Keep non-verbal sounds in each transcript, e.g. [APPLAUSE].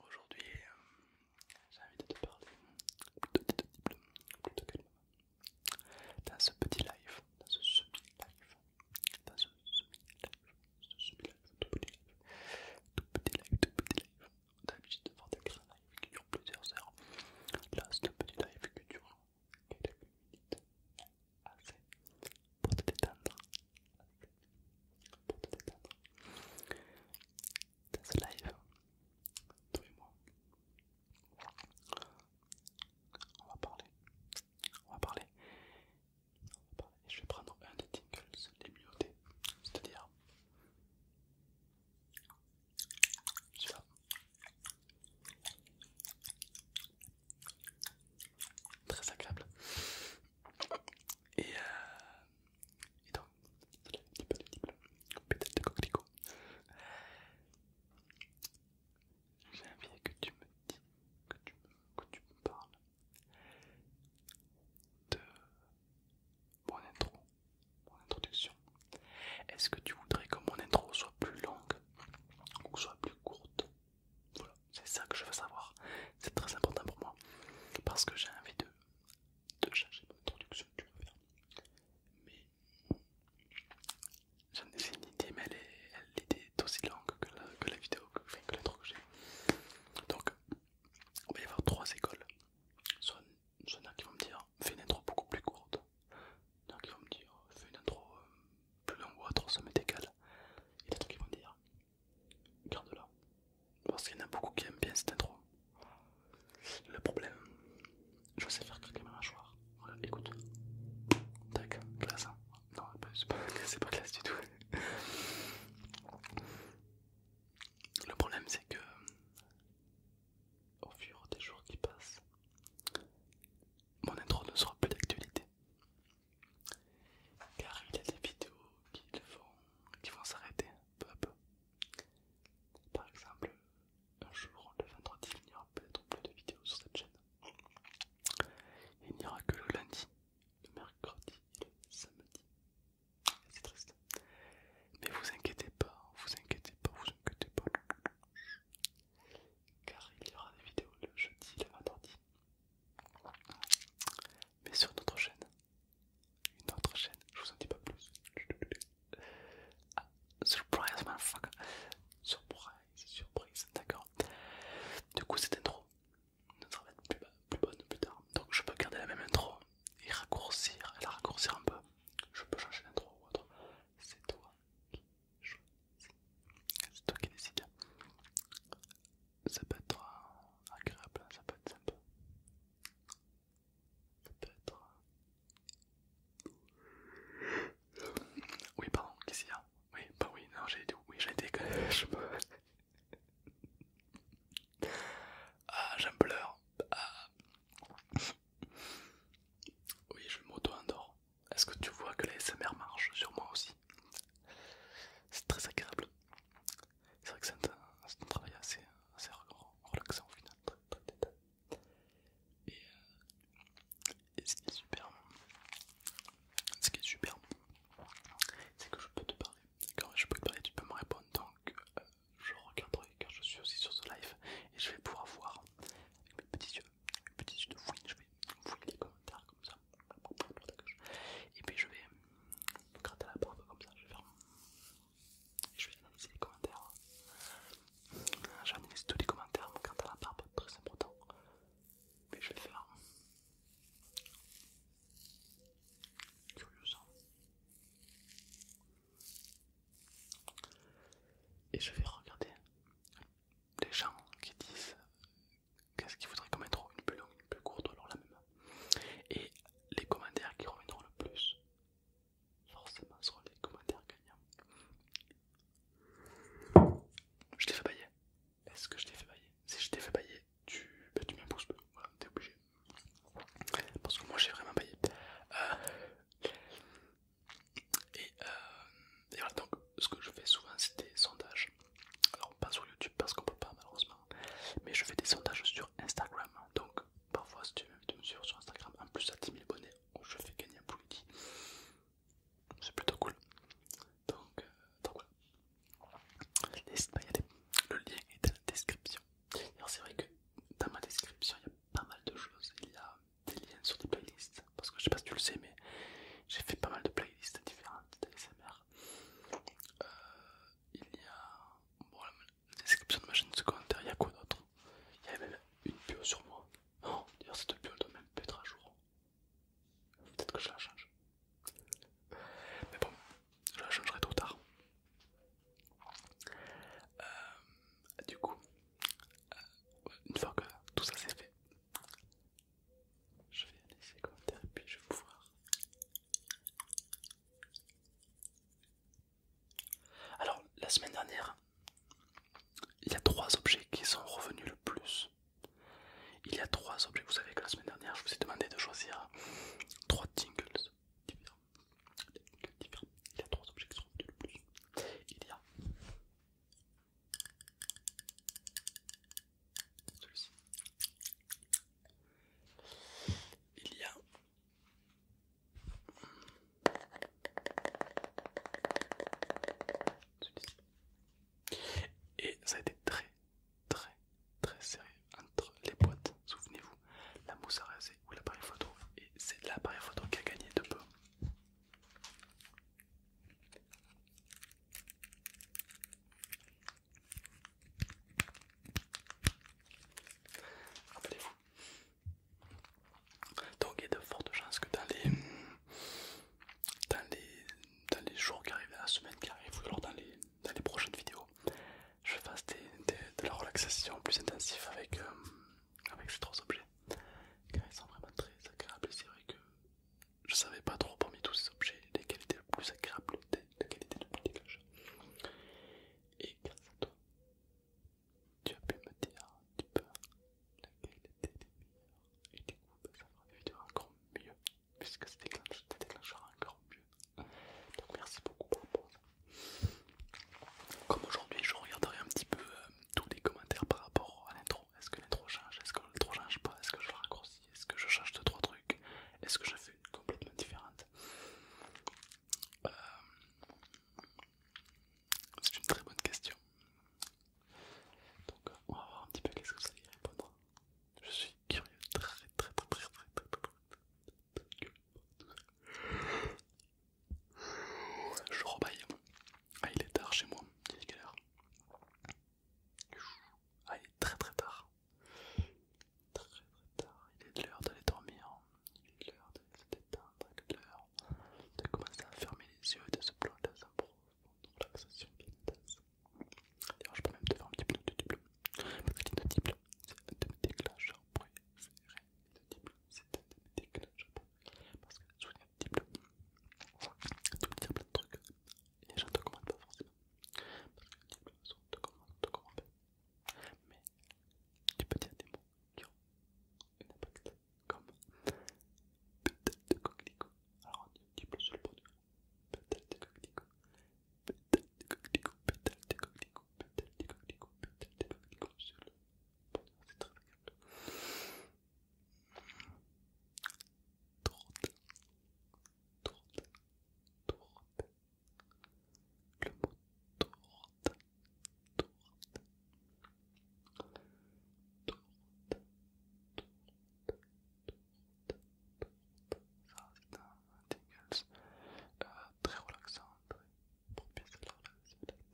Aujourd'hui, euh, j'ai envie de te parler plutôt plutôt, plutôt calmement. Dans ce petit live, dans ce semi-live, dans ce semi-live, ce semi-live, petit live, tout petit live, tout petit live. T'as l'habitude de faire des grands lives qui durent plusieurs heures. Là, c'est un petit live qui dure quelques minutes. Assez pour te détendre. Pour te détendre dans ce live, toi et moi. On va parler, on va parler, je vais prendre un des tingles, les muautés c'est-à-dire celui-là. Très agréable. et euh, donc j'ai envie que tu me dis, que tu, me parles de mon intro, mon introduction. Est-ce que tu voudrais que mon intro soit plus longue ou soit plus courte Voilà, c'est ça que je veux savoir. C'est très important pour moi parce que j'ai envie de de changer mon introduction, tu faire. Mais j'en ai fait une idée, mais elle, est, était aussi longue que la, que la vidéo, que, l'intro que j'ai. Donc, il va y avoir trois écoles. Soit il y qui vont me dire, fais une intro beaucoup plus courte. Il y qui vont me dire, fais une intro euh, plus longue ou autre, ça m'est égal. Il y en a qui vont dire, garde là Parce qu'il y en a beaucoup qui aiment bien cette intro. Le problème, je sais faire craquer ma mâchoire. Voilà, écoute. Tac, classe. Hein. Non, c'est pas, classe [LAUGHS] du tout. Le problème, c'est que au fur des jours qui passent, mon intro ne sera plus d'actualité. Car il y a des vidéos qui, qui vont s'arrêter. Par exemple, un jour, le vendredi, il n'y aura peut-être plus de vidéos sur cette chaîne. Il n'y aura que le lundi, le mercredi et le samedi. C'est triste. Mais vous inquiétez pas, vous inquiétez pas, vous inquiétez pas. Car il y aura des vidéos le jeudi et le vendredi. Mais sur d'autres chaînes une autre chaîne, je vous en dis pas plus. Ah, surprise surprise, fuck Surprise, surprise, d'accord. Du coup, cette intro ne sera plus, bonne plus tard. Donc, je peux garder la même intro et raccourcir, la raccourcir un peu. Je peux changer l'intro ou autre. C'est toi qui choisis, c'est toi qui décide ça peut être euh, agréable, hein, ça peut être sympa. Ça peut être... Euh, oui, pardon, qu'est-ce qu'il y a Oui, bah oui, non, j'ai dit oui, j'ai été. que [LAUGHS] je Ah, j'en pleure. Ah. Oui, je m'auto-endors. Est-ce que tu vois que la SMR marche sur moi aussi C'est très agréable c'est vrai que c'est un, travail assez, relaxant au final, très, très Et, euh, ce qui est super c'est que je peux te parler. Quand je peux te parler, tu peux me répondre. Donc, euh, je regarderai car je suis aussi sur ce live et je vais pouvoir voir avec mes petits yeux, mes de je vais fouiller les commentaires comme ça. Et puis je vais gratter la barbe comme ça, je vais faire. Et je vais analyser les commentaires. J'analyse tous les commentaires, me à la barbe, très important. Mais je vais faire. Curieux ça. Et je vais regarder les gens qui disent qu'est-ce qu'il faudrait qu'on trop une plus longue, une plus courte, alors la même. Et les commentaires qui reviendront le plus, forcément, seront les commentaires gagnants. Je t'ai fait bailler. Est-ce que je t'ai fait bailler Si je t'ai fait bailler, tu, ben, tu mets un pouce bleu. t'es obligé. Parce que moi j'ai vraiment baillé. Euh, et, euh... donc ce que je fais souvent, c'est des sondages. Alors pas sur YouTube parce qu'on peut pas malheureusement, mais je fais des sondages sur Instagram. Donc parfois si tu veux me suivre sur Instagram, en plus à 10 000 abonnés, je fais gagner un poulet. C'est plutôt cool. Donc, euh, voilà. N'hésite pas à y aller. Le lien est dans la description. Alors c'est vrai que dans ma description il y a pas mal de choses. Il y a des liens sur des playlists. Parce que je sais pas si tu le sais mais j'ai fait pas mal de playlists différentes d'ASMR euh, il y a. Bon, la description de ma chaîne secondaire, il y a quoi d'autre Il y avait même une bio sur moi. Non, oh, d'ailleurs, cette bio doit même être à jour. Peut-être que je la change. Mais bon, je la changerai trop tard. Euh, du coup, euh, une fois que tout ça c'est fait, je vais laisser commentaire et puis je vais vous voir. Alors, la semaine dernière, il y a trois objets qui sont revenus le plus. Il y a trois objets. Vous savez que la semaine dernière, je vous ai demandé de choisir trois tingles différents. différents. Il y a trois objets qui sont revenus le plus. Il y a celui Il y a et ça a été très très très serré entre les boîtes. Souvenez-vous, la mousse à raser ou l'appareil photo. Et c'est l'appareil photo qui a gagné de peu. Rappelez-vous. Donc il y a de fortes chances que dans les, dans les, jours qui arrivent, dans la semaine qui arrive, ou alors dans les, dans les prochaines vidéos, je fasse des, de la relaxation plus intensive avec, euh, avec ces trois objets. Car ils sont vraiment très agréables. C'est vrai que je savais pas trop parmi tous ces objets lesquels étaient le plus agréable, lequel était le plus dégageant. Et grâce à toi, tu as pu me dire un petit peu était les meilleurs. Et du coup, bah, ça va des encore mieux, puisque ça déclenchera, ça encore mieux. Donc merci beaucoup pour ça. Comme aujourd'hui, je regarderai un petit peu euh, tous les commentaires par rapport à l'intro. Est-ce que l'intro change Est-ce que l'intro change pas Est-ce que je le raccourcis Est-ce que je change de 3 trucs est-ce que je fais une complètement différente C'est une très bonne question. Donc on va voir un petit peu qu'est-ce que ça y répondre. Je suis curieux, très très très très très Je rebaille. il est tard chez moi, il ah, il est très très tard. Très très tard. Il est de l'heure d'aller dormir. Il est de l'heure de se Il est de l'heure de commencer à fermer les yeux et de se plonger dans un profonde relaxation piétasse. D'ailleurs, je peux même te faire un petit bleu. Parce que l'hypnotique bleu, c'est un de mes déclencheurs préférés. de bleu, c'est un de mes déclencheurs Parce que sous l'hypnotique bleu, tu peux dire plein de trucs. Et les gens ne te commandent pas forcément. Parce que les bleus sont de commandes, de commandes. Mais tu peux dire des mots qui ont un impact, comme peut-être de coquelicot. Alors on dit un petit sur le bonheur Peut-être de coquelicot. Peut-être de coquelicot. Peut-être de coquelicot. Peut-être de coquelicot. Peut-être de coquelicot sur le bonheur C'est très agréable. Trotte tourte, tourte. Le mot tourte, tourte. Tourte, tourte, tourte, Ça, c'est un euh, très relaxant, très propice à la tête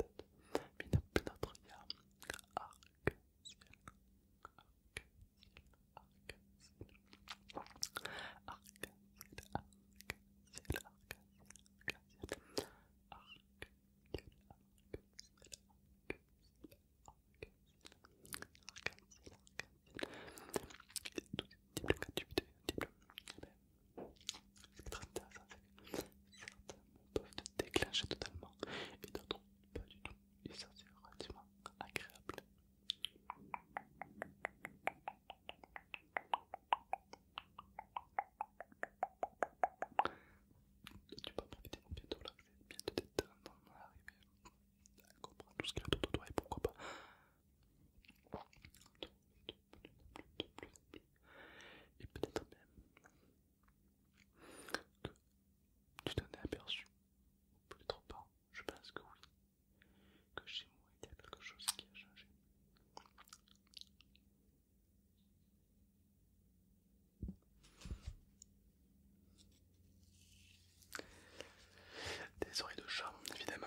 certains peuvent déclencher totalement et d'autres pas du tout et ça c'est relativement agréable. Tu peux en profiter bientôt là, bientôt relaxer, bien te détendre, arriver à comprendre tout ce qu'il y a autour de toi et pourquoi pas. Et peut-être même que tu t'en es aperçu Peut-être pas, je pense que oui. Que chez moi il y a quelque chose qui a changé. Des oreilles de chat, évidemment.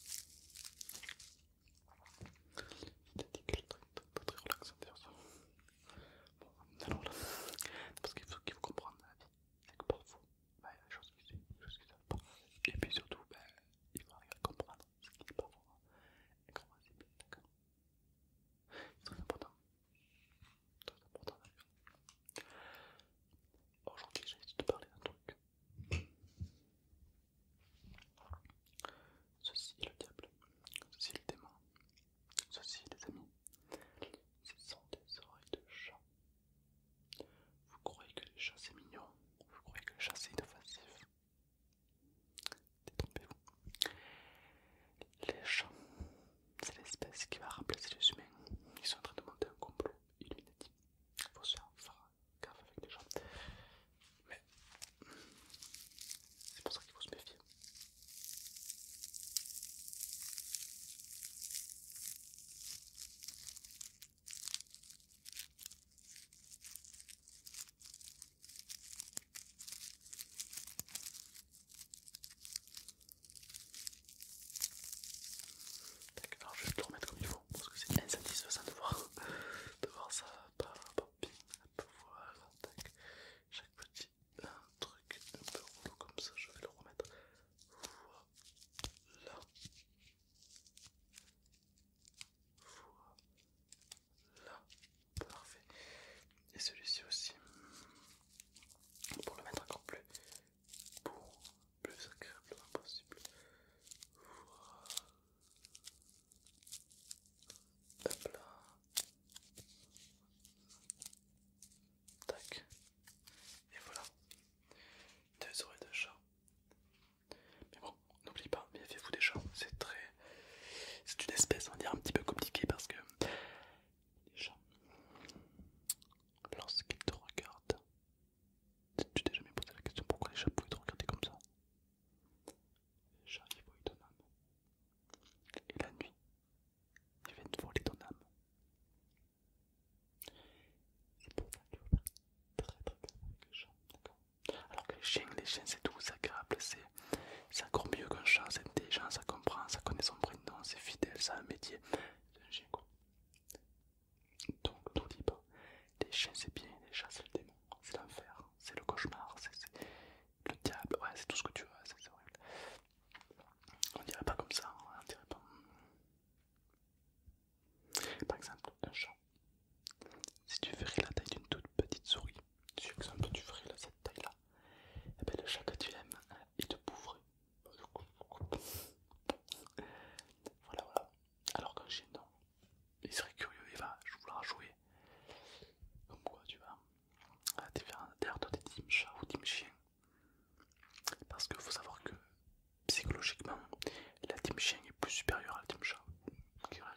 C'est a dit truc très relaxant d'ailleurs ça. Bon, alors là, parce qu'il faut qu'il faut comprendre la vie, c'est que parfois, bah, il y a des choses qui suivent, des choses qui savent pas. Et puis surtout, bah, il faut arriver à comprendre ce qui est pas bon et c'est bien, d'accord C'est très important. Très important d'ailleurs. Aujourd'hui, j'ai envie de te parler d'un truc Ceci est le diable, ceci est le démon, ceci les amis, ce sont des oreilles de chat. Vous croyez que les chats c'est mignon, vous croyez que les chats c'est inoffensif. Détrompez-vous. Les chats, c'est l'espèce qui va remplacer les humains. Ils sont en train de monter un complot illuminatif faut on faire gaffe avec les gens. Mais c'est pour ça qu'il faut se méfier. Alors je vais tout remettre comme il faut parce que c'est insatisfaisant de voir, de voir ça pas bien. Voilà, voir Chaque petit truc un peu rouleau comme ça, je vais le remettre. Voilà. Voilà. Parfait. Et celui-ci aussi. Pour le mettre encore plus pour plus agréablement possible. Voilà. Hop là. Tac. Et voilà. Deux oreilles de chat. Mais bon, n'oubliez pas, méfiez-vous des chats. C'est très... C'est une espèce, on va dire, un petit peu compliqué parce que les chats, lorsqu'ils te regardent, tu t'es jamais posé la question pourquoi les chats pouvaient te regarder comme ça les Chat, qui volent ton âme. Et la nuit, ils viennent voler ton âme. C'est pour ça qu'il très très bien avec les chats, Alors que les chiens, les chiens c'est doux, c'est agréable, c'est encore mieux qu'un chat, c'est intelligent, ça comprend, ça connaît son prénom, c'est fidèle, ça a un métier. C'est un chien quoi donc tout libre. Bah, les chiens c'est bien, les chats c'est le démon, c'est l'enfer, c'est le cauchemar, c'est le diable, ouais c'est tout ce que tu veux, c'est horrible. On dirait pas comme ça, hein, on dirait pas. Par exemple, un chat. Si tu ferais la taille d'une toute petite souris, si exemple tu ferais cette taille là, et eh bien le chat que tu aimes, il te bouvrait. Voilà, voilà. Alors qu'un chien, non. Il serait curieux, il va vouloir jouer. Comme quoi, tu vois. À ah, derrière toi, t'es team chat ou team chien. Parce qu'il faut savoir que psychologiquement, la team chien est plus supérieure à la team chat. Qui aurait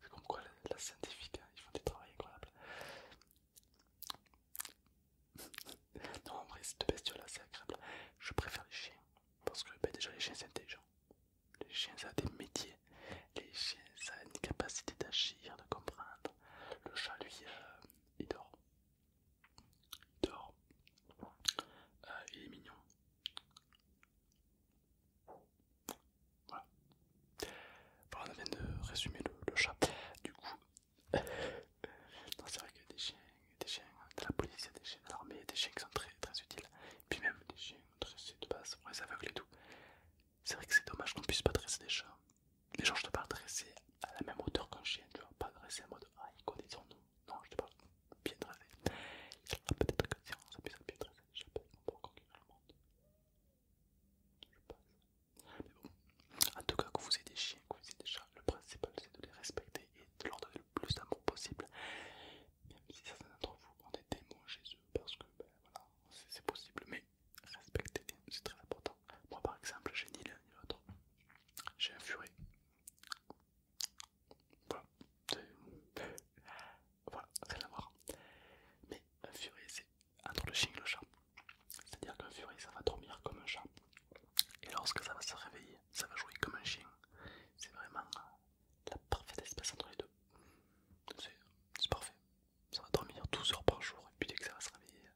C'est comme quoi, la, scientifique, hein, ils font des travaux incroyables. [LAUGHS] non, en vrai, cette bestiole c'est agréable. Je préfère les chiens parce que ben, déjà, les chiens c'est intelligent. Les chiens ça a des métiers, les chiens ça a une capacité d'agir, de comprendre. Le chat lui, euh, il dort. Il dort. Euh, il est mignon. Voilà. Bon, on vient de résumer le, le chat. Du coup, non, c'est vrai qu'il y a des chiens, des chiens de la police, il y a des chiens de l'armée, des chiens qui sont très, utiles. Et puis même des chiens dressés de base pour les aveugles et tout. C'est vrai que c'est dommage qu'on puisse pas dresser des chiens les gens je te parle dresser à la même hauteur qu'un chien, tu vois, pas dresser en mode ah, ils connaissent son nom. Non, je te parle bien a Peut-être que si on s'appuie à bien dresser, conquérir le monde. Je pense. Mais bon, en tout cas, que vous ayez des chiens, que vous ayez des chats, le principal c'est de les respecter et de leur donner le plus d'amour possible. Même si certains d'entre vous ont des démons chez eux parce que ben, c'est possible, mais respectez-les, c'est très important. Moi par exemple, j'ai ni l'un ni l'autre, j'ai un furet. Voilà, voilà, rien à voir. Mais un furet, c'est entre le chien et le chat, c'est-à-dire qu'un furet, ça va dormir comme un chat. Et lorsque ça va se réveiller, ça va jouer comme un chien. C'est vraiment la parfaite espèce entre les deux. C'est parfait. Ça va dormir 12 heures par jour et puis dès que ça va se réveiller,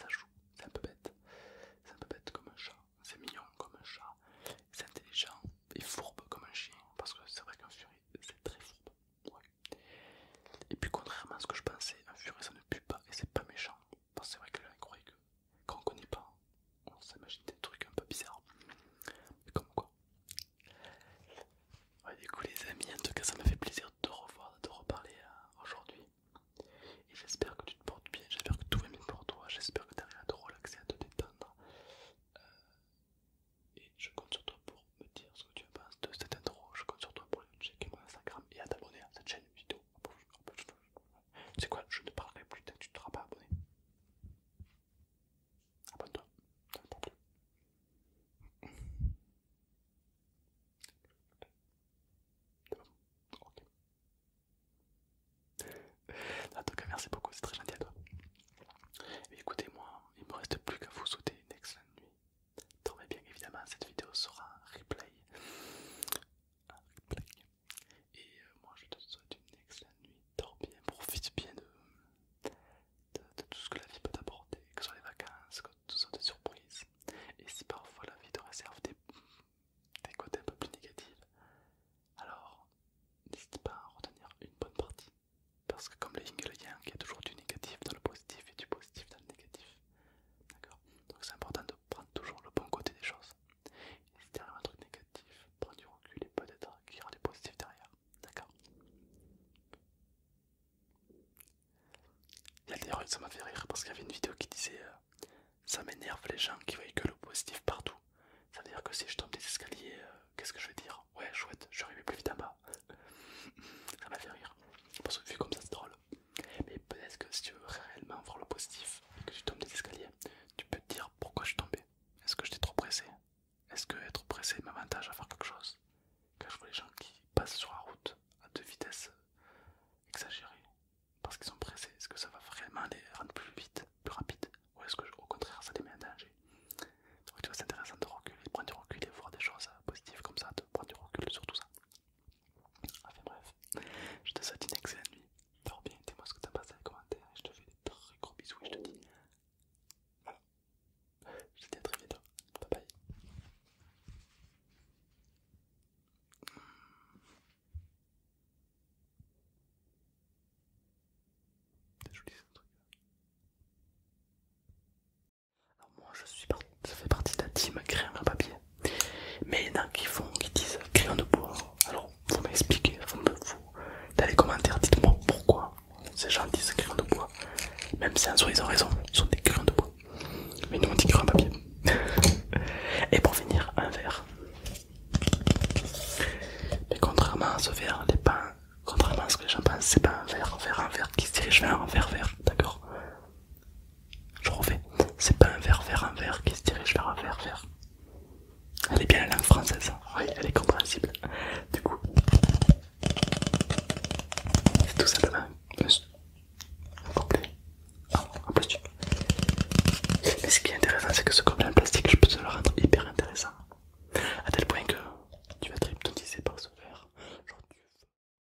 ça joue. C'est un peu bête. C'est un peu bête comme un chat. C'est mignon comme un chat. C'est intelligent et fourbe comme un chien. Parce que c'est vrai qu'un furet, c'est très fourbe. Et puis contrairement à ce que je pensais, un furet ça ne pue pas et c'est pas méchant c'est vrai que là, incroyable qu'on que qu'on connaît pas, on s'imagine des trucs un peu bizarres. Mais comme quoi. Ouais, du coup, les amis, en tout cas, ça m'a fait plaisir de te revoir, de te reparler euh, aujourd'hui. Et j'espère que tu te portes bien, j'espère que tout va bien pour toi, j'espère que tu arrives à te relaxer, à te détendre. Euh, et je compte sur toi pour me dire ce que tu penses de cette intro, je compte sur toi pour aller checker mon Instagram et à t'abonner à cette chaîne YouTube sais quoi Je ne parlerai plus tant tu ne t'auras pas abonné. Abonne-toi, Attends. Ok. En tout cas, merci beaucoup, c'est très gentil à toi. Écoutez-moi, il ne me reste plus qu'à vous souhaiter une excellente nuit. Dormez bien évidemment, cette vidéo sera replay et euh, moi je te souhaite une excellente nuit. Dors bien, profite bien de, tout ce que la vie peut t'apporter, que ce soit les vacances, que ce soit des surprises. Et si parfois la vie te réserve des, côtés un peu plus négatifs, alors n'hésite pas à retenir une bonne partie. Parce que comme les yin et le yang, il y a toujours du négatif dans le positif et du positif dans le négatif. D'accord Donc c'est important prendre toujours le bon côté des choses. Et si un truc négatif, prends du recul et peut-être qu'il y aura des positifs derrière. D'accord Il y a ça m'a fait rire parce qu'il y avait une vidéo qui disait euh, Ça m'énerve les gens qui voient que le positif partout. Ça veut dire que si je tombe des escaliers, euh, qu'est-ce que je vais dire Ouais, chouette, je vais arriver plus vite en bas. [LAUGHS] ça m'a fait rire. Parce que vu comme ça, c'est drôle. Mais peut-être que si tu veux réellement voir le positif et que tu tombes des escaliers, tu peux te dire pourquoi je suis tombé. Est-ce que j'étais trop pressé Est-ce que être pressé m'avantage à faire quelque chose Quand je vois les gens qui passent sur la route à deux vitesses euh, exagérées parce qu'ils sont pressés, est-ce que ça va vraiment les rendre plus vite, plus rapide Ou est-ce que au contraire ça les met en danger Donc tu vois, c'est intéressant de reculer, de prendre du recul et voir des choses euh, positives comme ça, de prendre du recul sur tout ça. Enfin ah, bref, je te souhaite une excellente nuit. Dors bien, dis-moi ce que t'en penses dans les commentaires. Je te fais des très gros bisous et je te dis. Voilà. Je te dis à très bientôt. Bye bye. C'est joli ce truc alors moi je suis parti, ça fait partie de la team crayon à papier. Mais il y en a qui font, qui disent crayon de bois. Alors vous m'expliquez, vous me vous dans les commentaires, dites-moi pourquoi ces gens disent crayon de bois. Même si en soi ils ont raison, ils sont des crayons de bois. Mais nous on dit crayon de papier. [LAUGHS] Et pour finir, un verre. Mais contrairement à ce verre, les pains, contrairement à ce que les gens pensent, c'est pas un verre, verre, un verre qui se dirige vers un verre vert, d'accord je refais. C'est pas un verre vers un verre qui se dirige vers un verre vers. Elle est bien la langue française. Hein. Oui, elle est compréhensible. Du coup, c'est tout simplement un couplet ah, en plastique. Mais ce qui est intéressant, c'est que ce couplet en plastique, je peux te le rendre hyper intéressant. À tel point que tu vas être hypnotisé par ce verre.